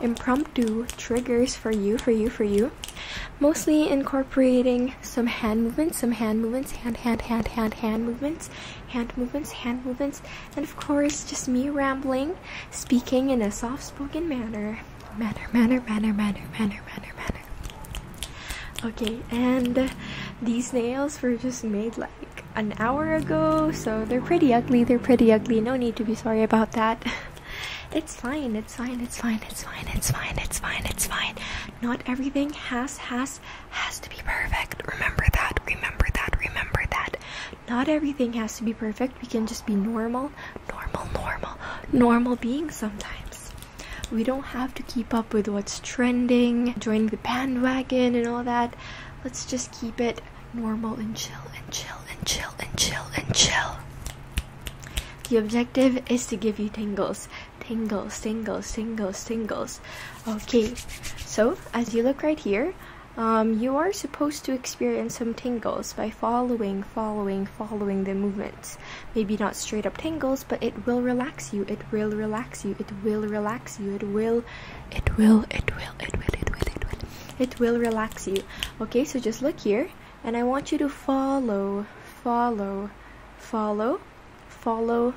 impromptu triggers for you, for you, for you. Mostly incorporating some hand movements, some hand movements, hand, hand, hand, hand, hand movements, hand movements, hand movements, and of course, just me rambling, speaking in a soft spoken manner. Manner, manner, manner, manner, manner, manner, manner. Okay, and these nails were just made like an hour ago, so they're pretty ugly, they're pretty ugly, no need to be sorry about that. It's fine, it's fine, it's fine, it's fine, it's fine, it's fine, it's fine. Not everything has, has, has to be perfect. Remember that, remember that, remember that. Not everything has to be perfect. We can just be normal, normal, normal, normal beings sometimes. We don't have to keep up with what's trending, join the bandwagon and all that. Let's just keep it normal and chill and chill and chill and chill and chill. The objective is to give you tingles, tingles, tingles, tingles, tingles. Okay, so as you look right here, um, you are supposed to experience some tingles by following, following, following the movements. Maybe not straight up tingles, but it will relax you. It will relax you. It will relax you. It will, it will, it will, it will, it will, it will. It will it will relax you okay so just look here and i want you to follow follow follow follow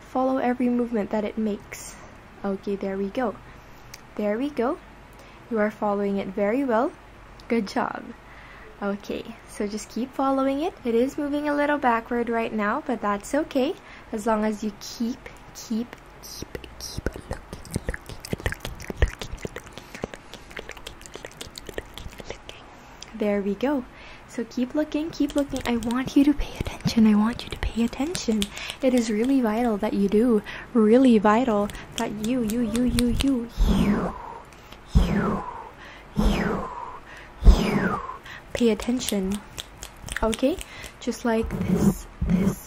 follow every movement that it makes okay there we go there we go you are following it very well good job okay so just keep following it it is moving a little backward right now but that's okay as long as you keep keep keep, keep looking, looking, looking, looking, looking, looking, looking, looking. There we go. So keep looking, keep looking. I want you to pay attention. I want you to pay attention. It is really vital that you do. Really vital that you, you, you, you, you, you, you, you, you pay attention. Okay? Just like this, this,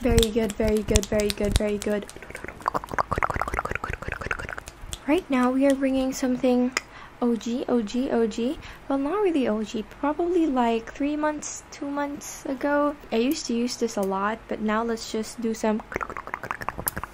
Very good, very good, very good, very good. Right now we are bringing something OG, OG, OG. Well, not really OG, probably like three months, two months ago. I used to use this a lot, but now let's just do some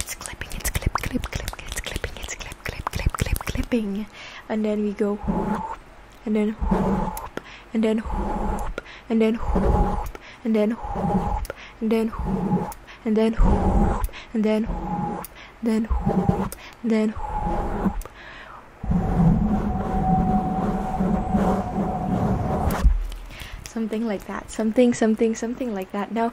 it's clipping, it's clip, clip, clip, it's clipping, it's clip, clip, clip, clip, clipping. And then we go whoop, and then whoop, and then whoop, and then whoop, and then whoop, and then whoop, and then whoop, and then whoop, then whoop, then whoop. Something like that. Something, something, something like that. Now,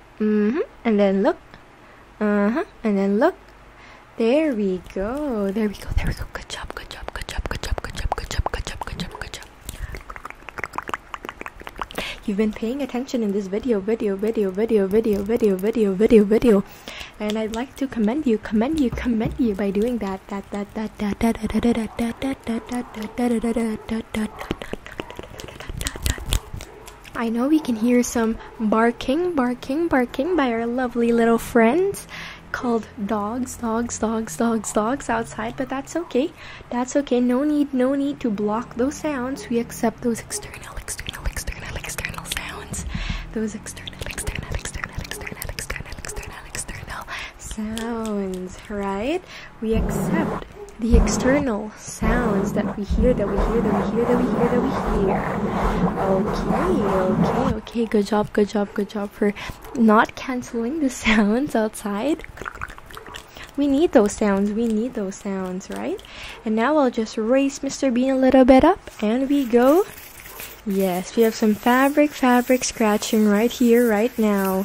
Mm-hmm. And then look. Uh-huh. And then look. There we go. There we go. There we go. Good job. Good job. Good job. Good job. Good job. Good job. Good job. Good job. Good job. You've been paying attention in this video, video, video, video, video, video, video, video, video. And I'd like to commend you, commend you, commend you by doing that. That that that that that that that that that that that that that that that that that I know we can hear some barking, barking, barking by our lovely little friends called dogs, dogs, dogs, dogs, dogs outside, but that's okay. That's okay. No need, no need to block those sounds. We accept those external, external, external, external sounds. Those external, external, external, external, external, external, external sounds, right? We accept the external sounds that we hear, that we hear, that we hear, that we hear, that we hear. Okay, okay, okay. Good job, good job, good job for not canceling the sounds outside. We need those sounds. We need those sounds, right? And now I'll just raise Mr. Bean a little bit up and we go. Yes, we have some fabric, fabric scratching right here, right now.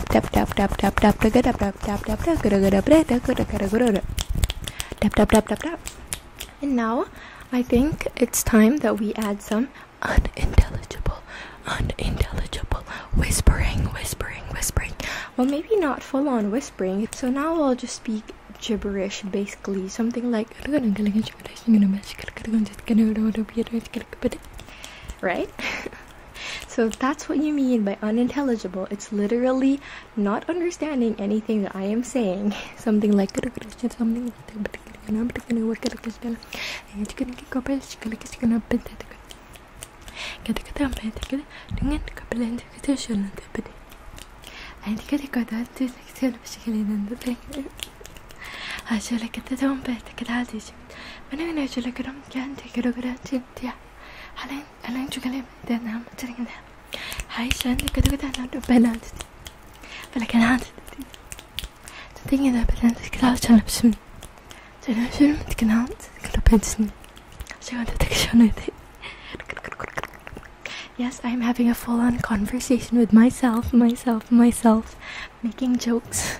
And now I think it's time that we add some unintelligible, unintelligible whispering, whispering, whispering. Well, maybe not full on whispering. So now I'll just speak gibberish basically something like right so that's what you mean by unintelligible. It's literally not understanding anything that I am saying. Something like something like تضيع الان شو كلام دانا مترين عايشة كده كده انا بنات فلكن عادت تدين اذا بنات كلاس كان بسمي تدين شنو متكنات كلا بنتسني عشان انت تكشوني Yes, I'm having a full on conversation with myself, myself, myself, making jokes.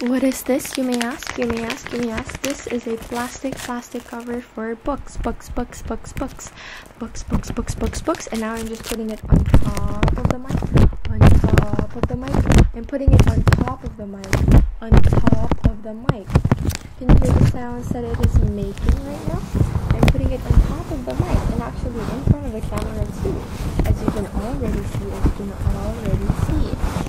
What is this? You may ask, you may ask, you may ask. This is a plastic plastic cover for books, books, books, books, books, books, books, books, books, books. And now I'm just putting it on top of the mic, on top of the mic, and putting it on top of the mic, on top of the mic. Can you hear the sounds that it is making right now? I'm putting it on top of the mic and actually in front of the camera too, as you can already see, as you can already see.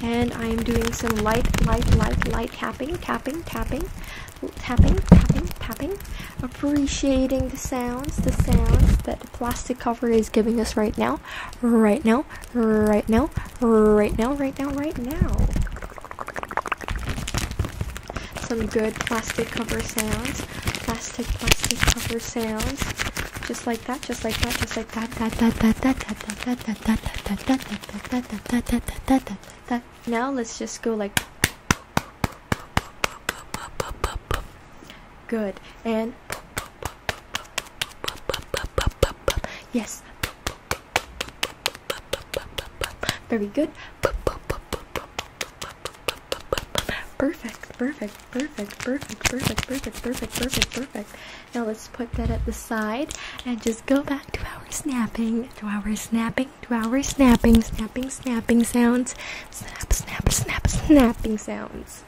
And I am doing some light, light, light, light tapping, tapping, tapping, tapping, tapping, tapping. Appreciating the sounds, the sounds that the plastic cover is giving us right now, right now, right now, right now, right now, right now. Some good plastic cover sounds, plastic, plastic cover sounds. Just like that, just like that, just like that, that, that, that, that, that, that, that, that, that, that, that, that, that, that, that. Now let's just go like. Good and. Yes. Very good. Perfect, perfect, perfect, perfect, perfect, perfect, perfect, perfect, perfect. Now let's put that at the side and just go back to our snapping, to our snapping, to our snapping, snapping, snapping sounds. Snap, snap, snap, snapping sounds.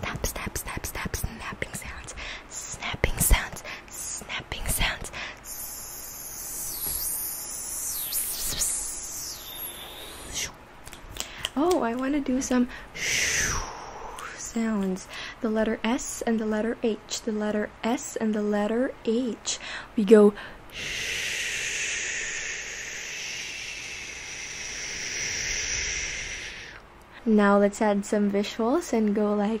Snap, snap, snap, snap, snapping sounds. Snapping sounds, snapping sounds. Snapping sounds. Oh, I want to do some sounds. The letter S and the letter H. The letter S and the letter H. We go Now let's add some visuals and go like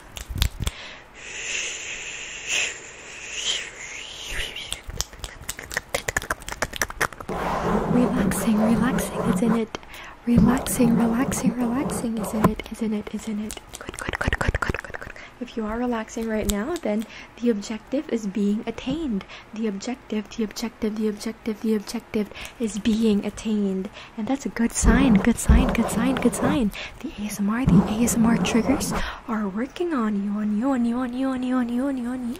Relaxing, relaxing, isn't it? Relaxing, relaxing, relaxing, isn't it? Isn't it? Isn't it? Good, good, good, good, good, good, good. If you are relaxing right now, then the objective is being attained. The objective, the objective, the objective, the objective is being attained. And that's a good sign, good sign, good sign, good sign. The ASMR, the ASMR triggers are working on you, on you, on you, on you, on you, on you, on you, on you.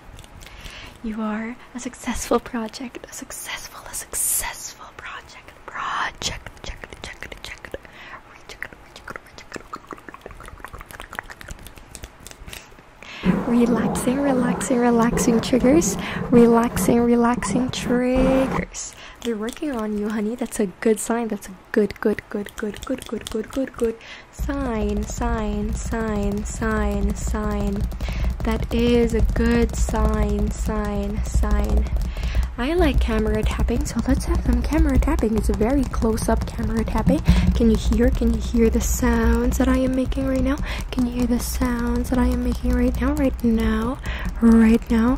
You are a successful project, a successful, a successful project, project, check it, check it, check it, recheck it, recheck it, recheck it. Relaxing, relaxing, relaxing triggers, relaxing, relaxing triggers yes, they're working on you, honey. That's a good sign. That's a good, good, good, good, good, good, good, good, good sign, sign, sign, sign, sign. That is a good sign, sign, sign. I like camera tapping, so let's have some camera tapping. It's a very close-up camera tapping. Can you hear? Can you hear the sounds that I am making right now? Can you hear the sounds that I am making right now? Right now? Right now?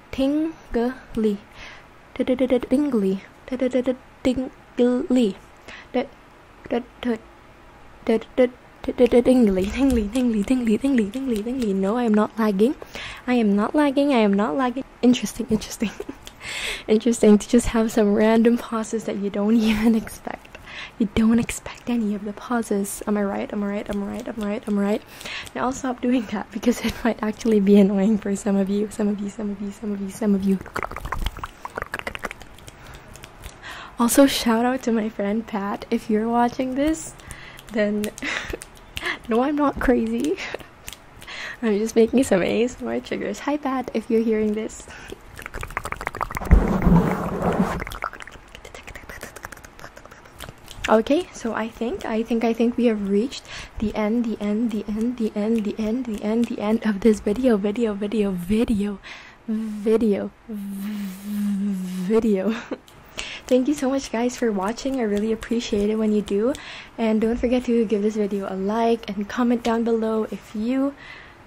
tingly tingly tingly tingly tingly tingly tingly tingly tingly tingly no i am not lagging i am not lagging i am not lagging interesting interesting interesting to just have some random pauses that you don't even expect you don't expect any of the pauses am i right am i right am i right am i right am i right now I'll stop doing that because it might actually be annoying for some of you, some of you, some of you, some of you, some of you. Also, shout out to my friend Pat. If you're watching this, then no, I'm not crazy. I'm just making some ASMR triggers. Hi, Pat, if you're hearing this. Okay, so I think, I think, I think we have reached the end, the end, the end, the end, the end, the end, the end of this video, video, video, video, video, video. Thank you so much guys for watching. I really appreciate it when you do. And don't forget to give this video a like and comment down below if you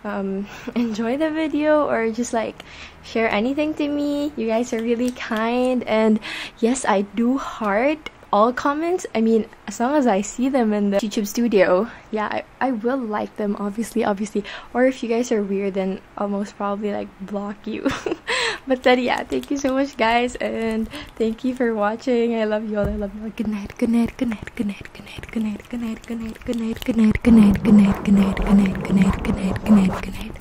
um, enjoy the video or just like share anything to me. You guys are really kind and yes, I do heart all comments. I mean, as long as I see them in the YouTube studio, yeah, I, I will like them, obviously, obviously. Or if you guys are weird, then I'll most probably like block you. but then, yeah, thank you so much, guys, and thank you for watching. I love you all. I love you all. Good night, good night, good night, good night, good night, good night, good night, good night, good night, good night, good night, good night, good night, good night, good night, good night, good night, good night.